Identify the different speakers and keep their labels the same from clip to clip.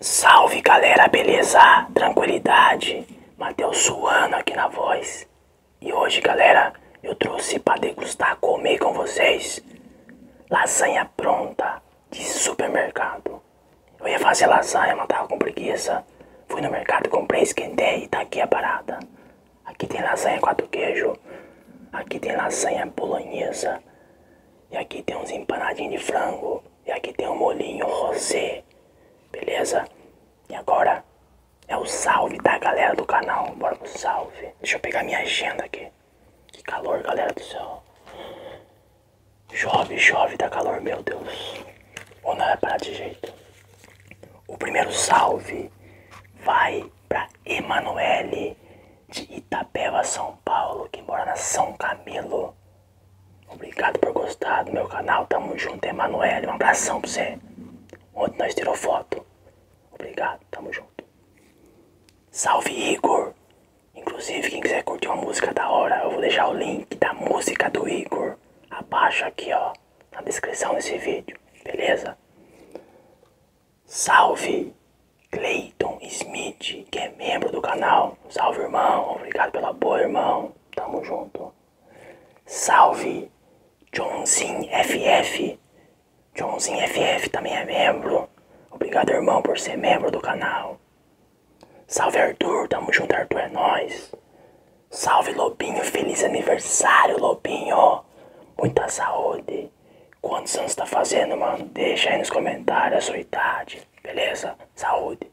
Speaker 1: Salve galera, beleza? Tranquilidade? Matheus Suano aqui na voz. E hoje, galera, eu trouxe para degustar, comer com vocês lasanha pronta de supermercado. Eu ia fazer lasanha, mas tava com preguiça. Fui no mercado, comprei, esquentei e tá aqui a parada. Aqui tem lasanha com quatro queijo. Aqui tem lasanha bolonhesa. E aqui tem uns empanadinhos de frango. E aqui tem um molinho rosé. Beleza? E agora é o salve da galera do canal. Bora pro salve. Deixa eu pegar minha agenda aqui. Que calor, galera do céu. Chove, chove, dá calor, meu Deus. Ou não é pra de jeito. O primeiro salve vai para Emanuele de Itapeva, São Paulo, que mora na São Camilo. Obrigado por gostar do meu canal. Tamo junto, Emanuele. Um abração pra você. Ontem nós tirou foto. Obrigado, tamo junto. Salve Igor Inclusive, quem quiser curtir uma música da hora, eu vou deixar o link da música do Igor abaixo aqui, ó, na descrição desse vídeo, beleza? Salve Clayton Smith, que é membro do canal. Salve, irmão. Obrigado pelo apoio, irmão. Tamo junto. Salve Johnzinho FF. Johnzinho FF também é membro. Obrigado, irmão, por ser membro do canal. Salve Arthur, tamo junto, Arthur, é nós. Salve Lobinho, feliz aniversário, Lobinho. Muita saúde. Quantos anos tá fazendo, mano? Deixa aí nos comentários a sua idade, beleza? Saúde.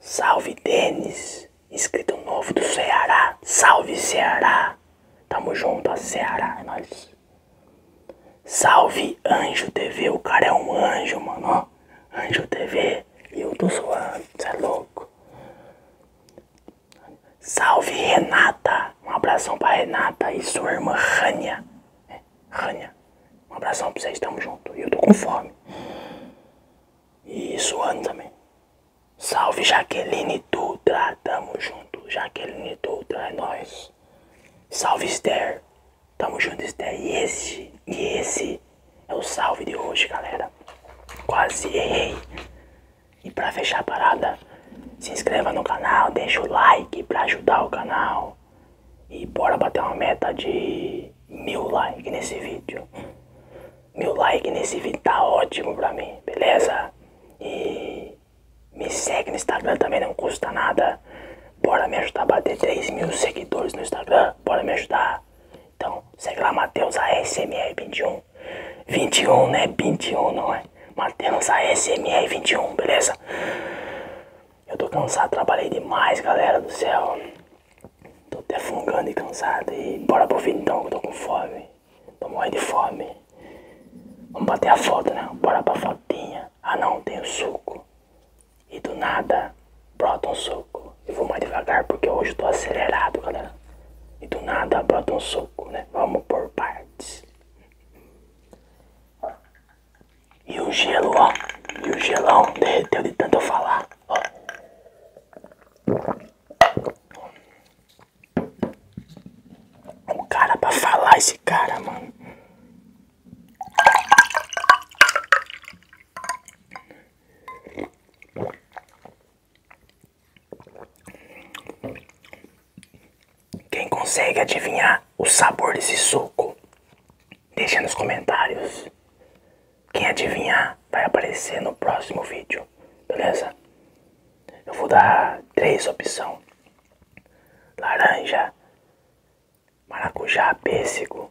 Speaker 1: Salve Denis, inscrito novo do Ceará. Salve Ceará. Tamo junto, a Ceará, é nós. Salve Anjo TV, o cara é um anjo, mano, Anjo TV, eu tô suando, cê é louco. Salve Renata, um abração pra Renata e sua irmã Rania. É, Rania, um abração pra vocês, tamo junto. Eu tô com fome. E suando também. Salve Jaqueline Dutra, tamo junto. Jaqueline Dutra, é nóis. Salve Esther. Tamo junto, Esther. E esse, e esse é o salve de hoje, galera. Quase errei. E pra fechar a parada, se inscreva no canal, deixa o like pra ajudar o canal. E bora bater uma meta de mil likes nesse vídeo. Mil likes nesse vídeo tá ótimo pra mim, beleza? E me segue no Instagram também, não custa nada. Bora me ajudar a bater 3 mil seguidores no Instagram. Bora me ajudar. Então, segue lá, Matheus ASMR21. 21, né? 21, não é? Matheus ASMR21, beleza? Eu tô cansado, trabalhei demais, galera do céu. Tô até fungando e cansado. E bora pro vídeo então, que eu tô com fome. Tô morrendo de fome. Vamos bater a foto, né? Bora pra fotinha ah não, tem o suco. E do nada, brota um suco. Eu vou mais devagar porque hoje eu tô acelerado, galera. E do nada, brota um suco, né? Vamos por partes. E o gelo, ó. E o gelão derreteu de tanto eu falar, ó. O cara pra falar esse cara, mano. Quem consegue adivinhar o sabor desse suco, deixa nos comentários. Quem adivinhar vai aparecer no próximo vídeo, beleza? Eu vou dar três opções laranja, maracujá, pêssego.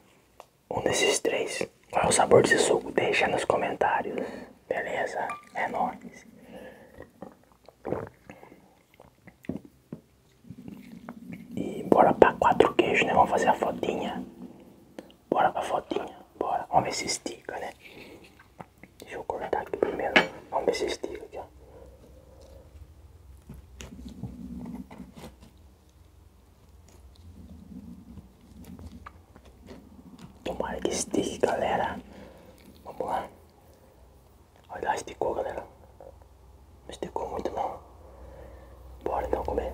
Speaker 1: Um desses três. Qual é o sabor desse suco? Deixa nos comentários. Beleza? É nóis. E bora pra quatro queijos, né? Vamos fazer a fotinha. Bora pra fotinha. Bora. Vamos ver se estica, né? Deixa eu cortar aqui primeiro. Vamos ver se estica aqui aqui, ó. Tomara que estique, galera. Vamos lá. Olha, esticou, galera. Não esticou muito, não. Bora não comer.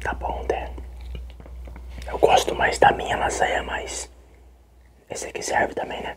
Speaker 1: Tá bom, né? Eu gosto mais da minha lasanha, mas esse aqui serve também, né?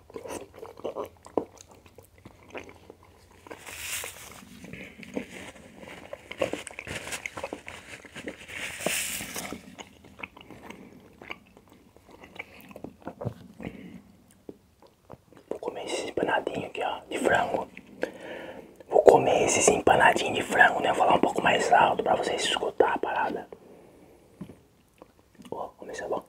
Speaker 1: Vou comer esses empanadinhos aqui, ó, de frango. Vou comer esses empanadinhos de frango, né? Vou falar um pouco mais alto para vocês escutar a parada. Ó, oh, comecei é bom.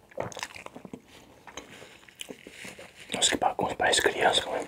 Speaker 1: Nossa, que bagunça, parece criança, mano.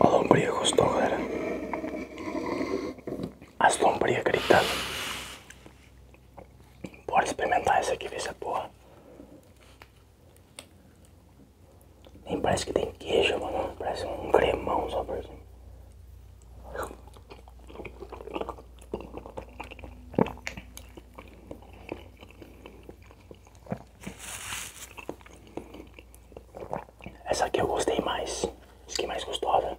Speaker 1: A lombria gostou, galera. As lombrias gritando. Bora experimentar essa aqui, ver essa porra. Nem parece que tem queijo, mano. Parece um cremão só por cima. Essa aqui eu gostei mais. Essa é mais gostosa.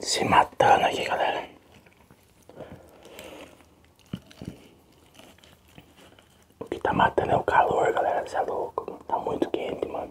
Speaker 1: しまったあの日がね O que tá matando é o calor, galera. Você é louco. Tá muito quente, mano.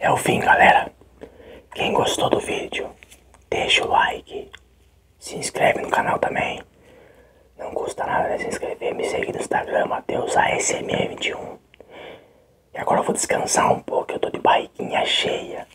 Speaker 1: É o fim, galera. Quem gostou do vídeo, deixa o like. Se inscreve no canal também. Não custa nada se inscrever. Me seguir no Instagram, Matheus ASMR21. E agora eu vou descansar um pouco. Eu tô de barriguinha cheia.